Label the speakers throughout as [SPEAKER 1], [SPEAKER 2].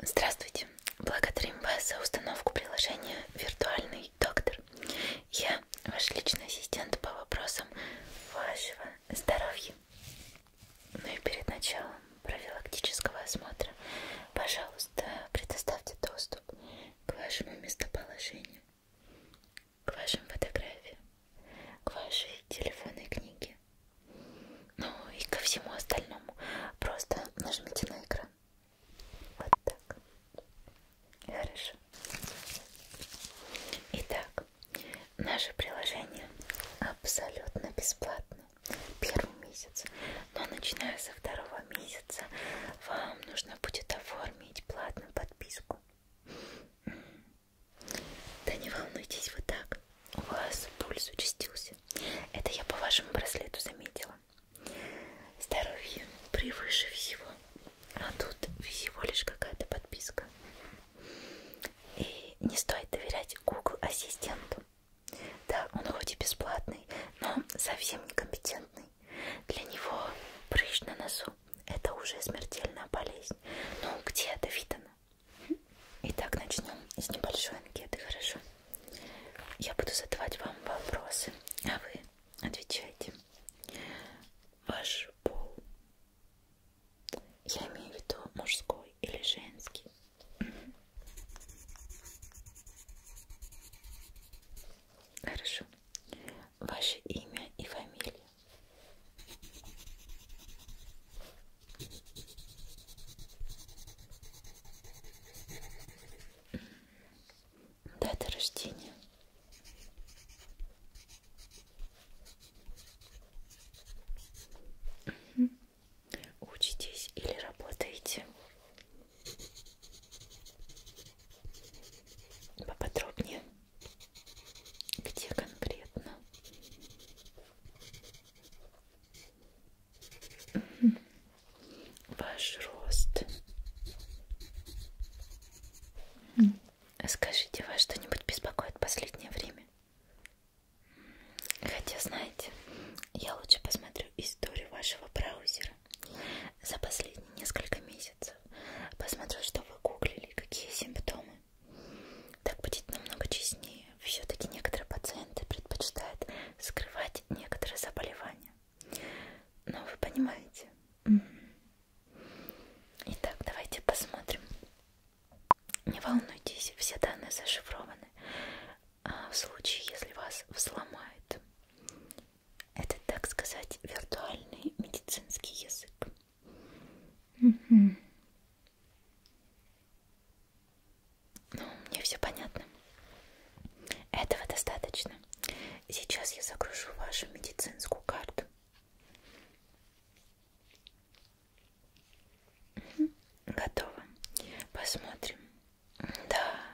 [SPEAKER 1] Здравствуйте! Благодарим вас за установку приложения «Виртуальный доктор». Я ваш личный ассистент по вопросам вашего здоровья. Ну и перед началом профилактического осмотра, пожалуйста, предоставьте доступ к вашему местоположению, к вашим фотографиям, к вашей телефонной книге, ну и ко всему остальному. Просто нажмите на экран. Вот так. Хорошо. Итак, наше приложение абсолютно бесплатно. Первый месяц. Но начиная со второго месяца вам нужно будет оформить платную подписку. Да не волнуйтесь, вот так. У вас пульс участился. Это я по вашему браслету заметила. Здоровье превыше всего. А тут всего лишь какая-то подписка. И не стоит доверять Google ассистенту. Да, он хоть и бесплатный, но совсем некомпетентный. Для него прыщ на носу – это уже смертельная болезнь. Ну, где это видано? Итак, начнем с небольшой анкеты, хорошо? Я буду задавать вам вопросы, а вы отвечайте. Ваш пол. Я имею в виду мужской или женский. Хорошо. Ваше имя и фамилия. Дата рождения. Угу. Учитесь или работаете? Поподробнее. Где конкретно? Ваш рост. Скажите, вас что-нибудь беспокоит в последнее время? Хотя, знаете, я лучше посмотрю историю вашего браузера за последние несколько месяцев. Посмотрю, что вы гуглили, какие симптомы. Так будет намного честнее. Все-таки некоторые пациенты предпочитают скрывать некоторые заболевания. Но ну, вы понимаете. Итак, давайте посмотрим. Не волнуйтесь, все данные зашифрованы. А в случае, если вас взломают, это, так сказать, виртуальный медицинский язык. Угу. Ну, мне все понятно. Этого достаточно. Сейчас я загружу вашу медицинскую карту. Готово. Посмотрим. Да,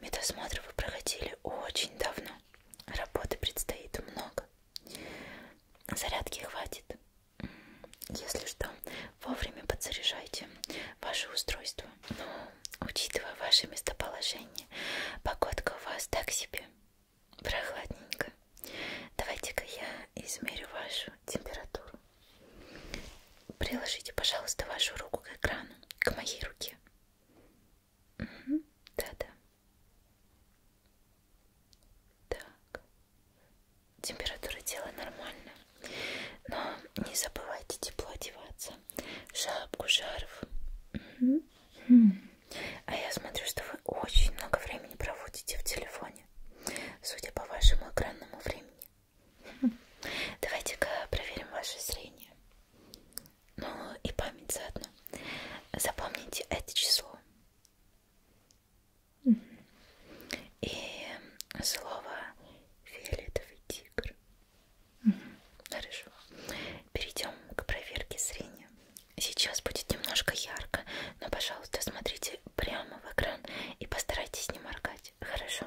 [SPEAKER 1] медосмотр вы проходили очень давно. Работы предстоит много. Зарядки хватит. Если что, вовремя подзаряжайте ваше устройство. Но, учитывая ваше местоположение, погодка у вас так себе прохладненько. Давайте-ка я измерю вашу температуру. Приложите, пожалуйста, вашу руку к экрану, к моей руке. Да-да. Угу. Так, температура тела нормальная, но не забывайте тепло одеваться, шапку, шарф.
[SPEAKER 2] Mm -hmm.
[SPEAKER 1] А я смотрю, что вы очень много времени проводите в телефоне, судя по вашему экранному времени. Mm -hmm. Давайте-ка проверим ваше зрение. Ну и память заодно. Запомните это число. И слово фиолетовый тигр. Хорошо. Перейдем к проверке зрения. Сейчас будет немножко ярко, но, пожалуйста, смотрите прямо в экран и постарайтесь не моргать. Хорошо?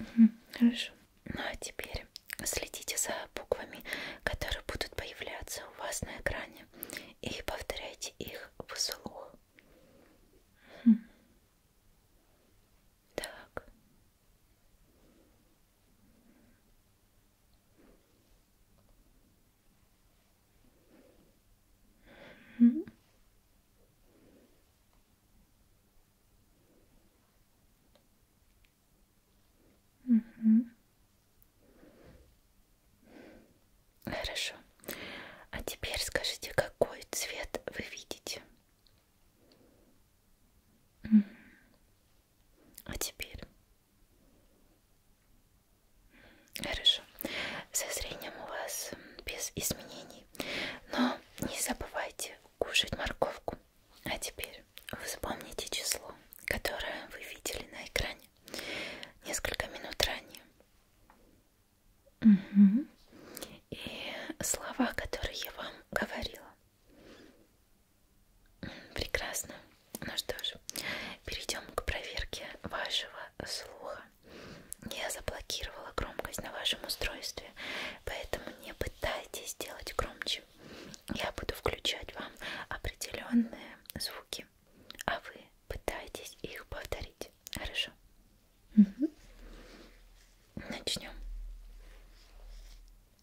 [SPEAKER 1] Угу, хорошо. Ну а теперь следите за буквами, которые будут появляться у вас на экране, и повторяйте их вслух. Угу. Так. Mm -hmm. Mm -hmm. Хорошо. А теперь скажите, какой цвет вы видите? Mm -hmm. А теперь Хорошо. Со зрением у вас без изменений. Но не забывайте кушать морковку. А теперь вспомните число, которое вы видели на экране несколько минут ранее. Угу. И слова, которые я вам говорила. Прекрасно. Ну что ж, перейдем к проверке вашего слуха. Я заблокировала громкость на вашем устройстве, поэтому не пытайтесь делать громче. Я буду включать вам определенные звуки, а вы пытаетесь их повторить. Хорошо? Угу. Начнем.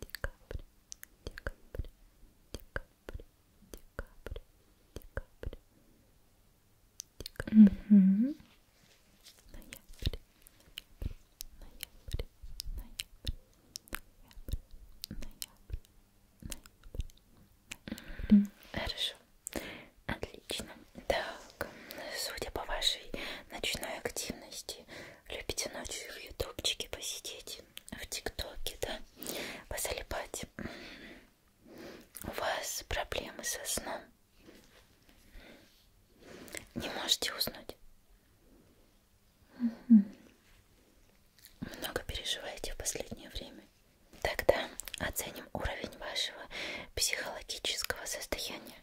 [SPEAKER 2] декабрь, декабрь, декабрь, декабрь, декабрь, декабрь, ноябрь, ноябрь, ноябрь, ноябрь, ноябрь,
[SPEAKER 1] Хорошо. Отлично. Так, судя по вашей ночной активности, Любите ночью в ютубчике посидеть, в тиктоке, да, позалипать. У вас проблемы со сном. Не можете уснуть. Угу. Много переживаете в последнее время. Тогда оценим уровень вашего психологического состояния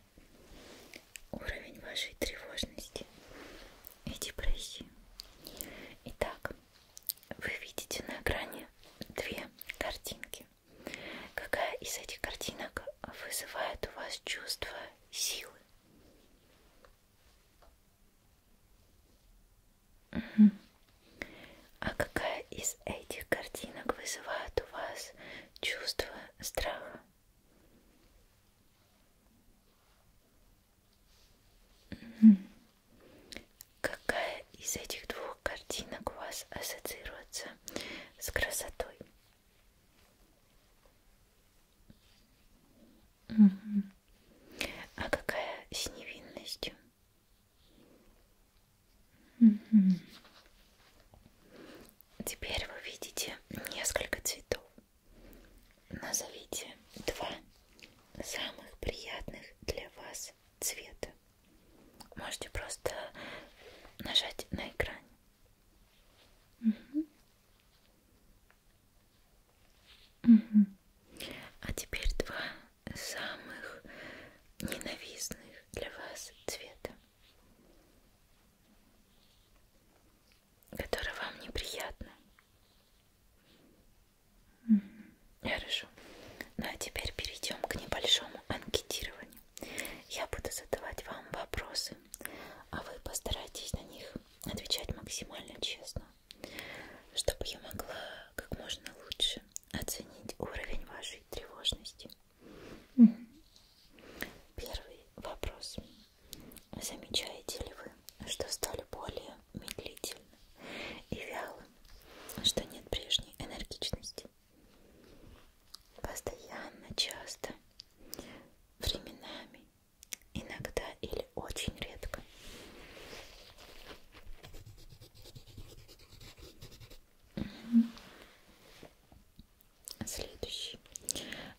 [SPEAKER 1] уровень вашей тревожности и депрессии. Итак, вы видите на экране две картинки. Какая из этих картинок вызывает у вас чувство силы? Угу. А какая из этих картинок вызывает у вас чувство страха? Какая из этих двух картинок у вас ассоциируется с красотой? А какая с невинностью? теперь вы видите несколько цветов. Назовите два самых приятных для вас цвета. Можете просто нажать на экране. Угу. Угу. А теперь два самых ненавистных для вас цвета которые вам неприятны. Mm -hmm. Хорошо. Ну а теперь перейдем к небольшому анкетированию. Я буду задавать вам вопросы, а вы постарайтесь на них отвечать максимально честно, чтобы я могла как можно лучше оценить уровень вашей тревожности. Первый вопрос. Замечаете ли вы, что стали более медлительным и вялым, что нет прежней энергичности? Постоянно, часто, временами, иногда или очень редко. Угу. Следующий.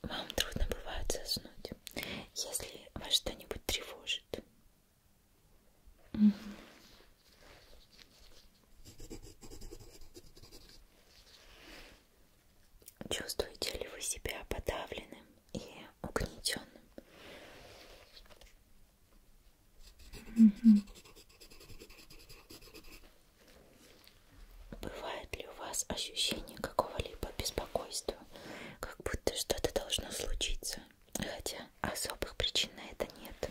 [SPEAKER 1] Вам трудно бывает заснуть, если вас что-нибудь тревожит. Mm -hmm. Чувствуете ли вы себя подавленным и угнетенным? Mm -hmm. Бывает ли у вас ощущение какого-либо беспокойства, как будто что-то должно случиться, хотя особых причин на это нет?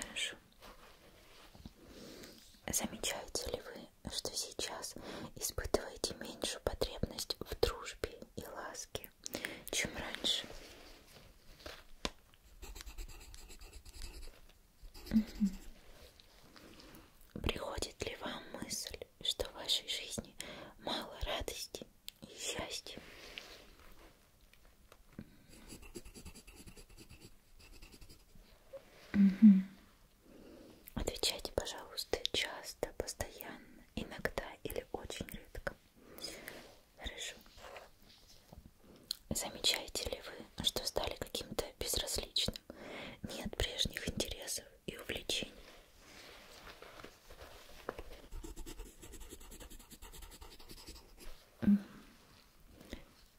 [SPEAKER 1] Хорошо. Замечаете ли вы, что сейчас испытываете меньшую потребность в дружбе и ласке? чем раньше. Угу. Приходит ли вам мысль, что в вашей жизни мало радости и счастья? Угу. Отвечайте, пожалуйста, часто, постоянно, иногда или очень редко. Хорошо. Замечаете ли вы, что стали каким-то безразличным? Нет прежних интересов и увлечений.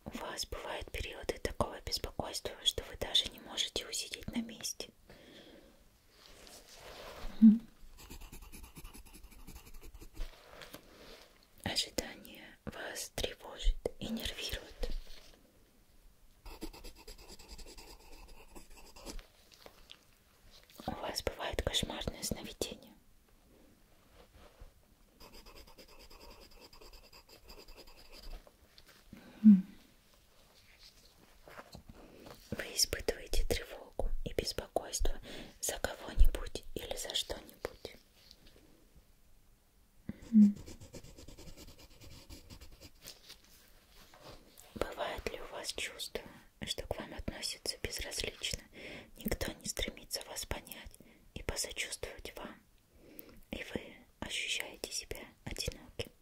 [SPEAKER 1] У вас бывают периоды такого беспокойства, что вы даже не можете усидеть на месте. Угу. Ожидание вас тревожит и нервирует. У вас бывает кошмарное сновидение. Угу. Вы испытываете тревогу и беспокойство за кого-нибудь или за что-нибудь. Mm -hmm. Бывает ли у вас чувство, что к вам относятся безразлично, никто не стремится вас понять и посочувствовать вам, и вы ощущаете себя одиноким?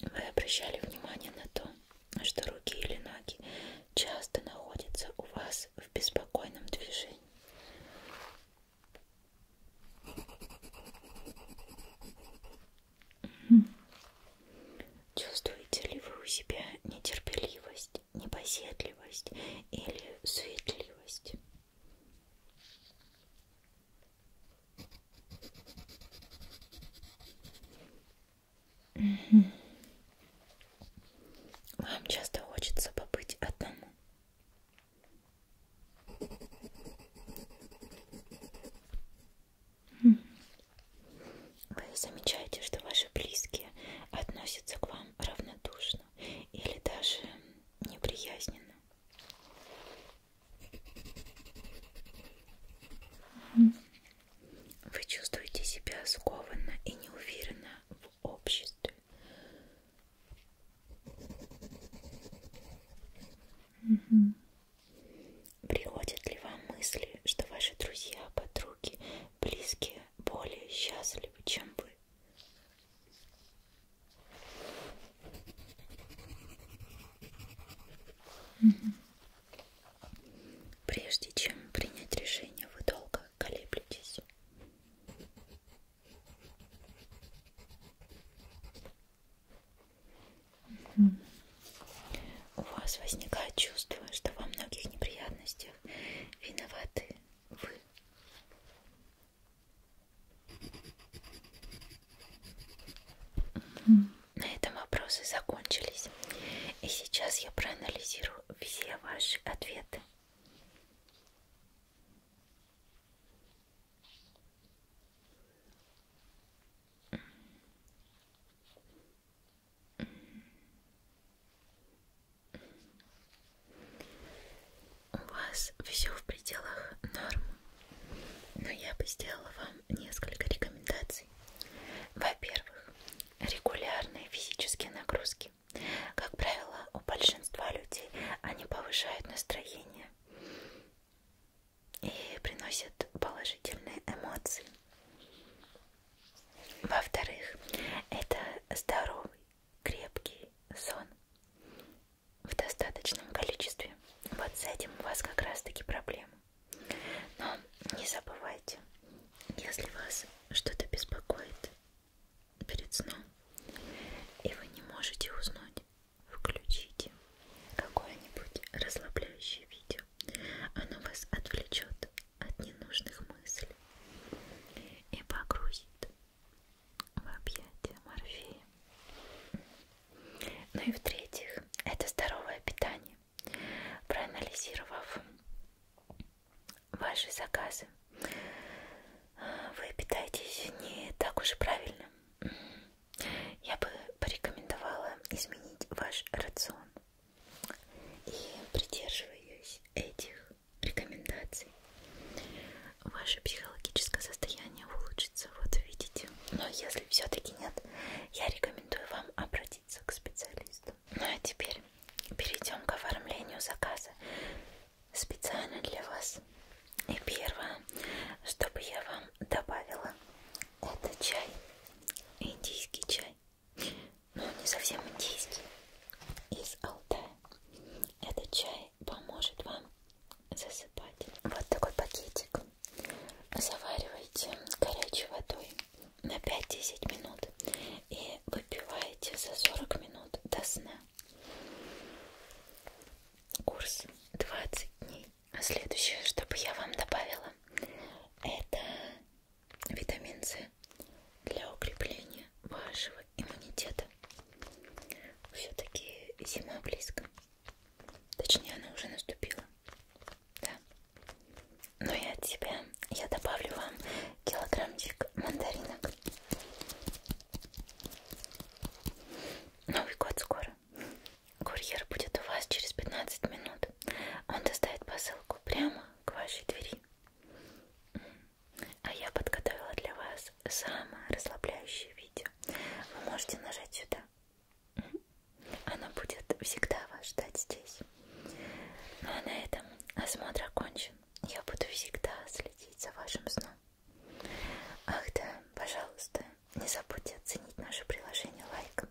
[SPEAKER 1] Вы обращали внимание на то, что руки или ноги часто находятся у вас в беспокойном движении. Чувствуете ли вы у себя нетерпеливость, непоседливость или суетливость? Угу. Вам часто хочется побыть одному. Вы замечаете, что ваши близкие относятся к вам равнодушно или даже неприязненно. Вы чувствуете себя скованно и неуверенно в обществе. Угу. Приходят ли вам мысли, что ваши друзья, подруги, близкие более счастливы, чем вы? Прежде чем принять решение, вы долго колеблетесь. У вас возникает чувство, что во многих неприятностях виноваты вы на этом вопросы закончились. И сейчас я проанализирую все ваши ответы. У вас все в пределах норм, но я бы сделала вам несколько рекомендаций. Во-первых, регулярные физические нагрузки. Как правило, у большинства людей они повышают настроение и приносят положительные эмоции. Во-вторых, это здоровый крепкий сон в достаточном количестве. Вот с этим у вас как раз таки проблемы. Но не забывайте, если вас что-то беспокоит перед сном, и вы не можете уснуть, включите какое-нибудь расслабляющее видео. Оно вас отвлечет от ненужных мыслей и погрузит в объятия морфея. Ну и в-третьих, это здоровое питание. Проанализировав ваши заказы, вы питаетесь не так уж правильно. Я бы порекомендовала изменить ваш рацион. И придерживаясь этих рекомендаций. Ваше психологическое состояние улучшится, вот видите. Но если все-таки нет, я рекомендую вам обратиться к специалисту. Ну а теперь перейдем к оформлению заказа специально для вас. И первое, чтобы я вам добавила, это чай, индийский чай но он не совсем индийский, из Алтая. Этот чай поможет вам засыпать. Вот такой пакетик. Заваривайте горячей водой на 5-10 минут и выпиваете за 40 минут до сна. Курс 20 дней. А следующее, чтобы я вам добавила, это витамин С для укрепления вашего иммунитета. Все-таки зима близко. Точнее, она уже наступила. Да. Но я от себя я добавлю вам килограммчик мандаринок. Новый год скоро. Курьер будет у вас через 15 минут. Он доставит посылку прямо к вашей двери. А я подготовила для вас самое расслабляющее видео. Вы можете нажать сюда. Она будет всегда вас ждать здесь. Ну а на этом осмотр окончен. Я буду всегда следить за вашим сном. Ах да, пожалуйста, не забудьте оценить наше приложение лайком.